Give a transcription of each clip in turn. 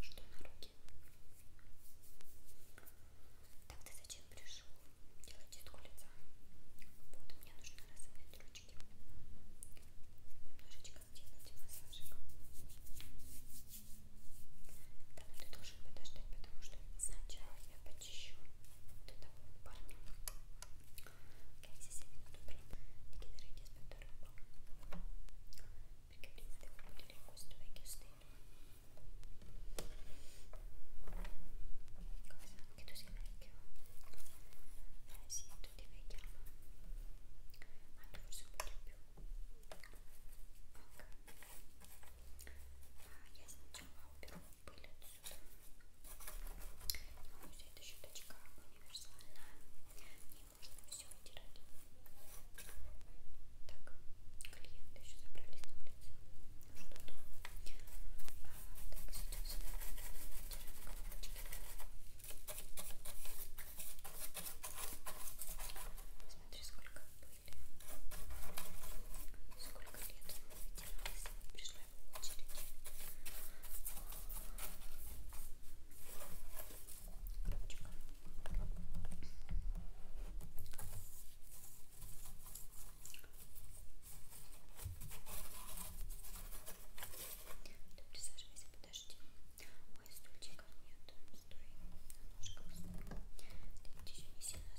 Что на руки? Так ты зачем пришел? Делать чистку лица. Вот мне нужно разомнять ручки. Немножечко сделать массажик. Да, но ты должен подождать, потому что сначала я почищу Ok, se sei venuto prima ti chiederei di aspettare un po'. Perché prima devo pulire questo vecchio stelo. Cosa? Che tu sei vecchio? Eh sì, tutti vecchiamo. Ma tu forse un po' di più. Ok. Ah, yes, сперва уберу пыль отсюда. Вся эта щеточка универсальная, не можно все вытирать. Так, клиенты еще забрались на улицу. Что-то. А, так, сюда, сюда. Вытираем колбочки. Смотри, сколько пыли. Сколько лет он вытирался пришла в очередь. Ручка. Ты присаживайся, подожди. Ой, стульчиков нет. Стой. Ножка Ты ведь еще не сильно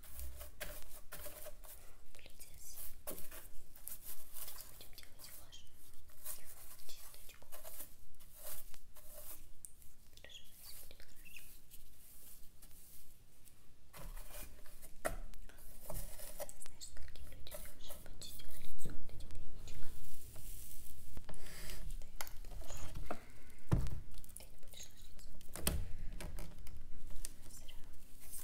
Сейчас будем делать вашу чисточку. Хорошо, все будет хорошо. Знаешь, скольким людям я уже почистила лицо вот этим веничком. Ты не будешь ложиться. Зря.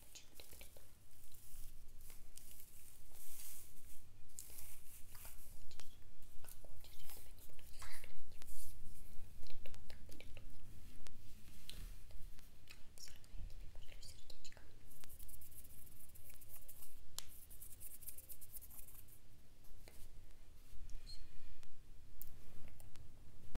почему-то передумал. Как хочешь, как хочешь, я тебя не буду заставлять. Передумал, так передумал. Все равно я тебе пошлю сердечко. Все.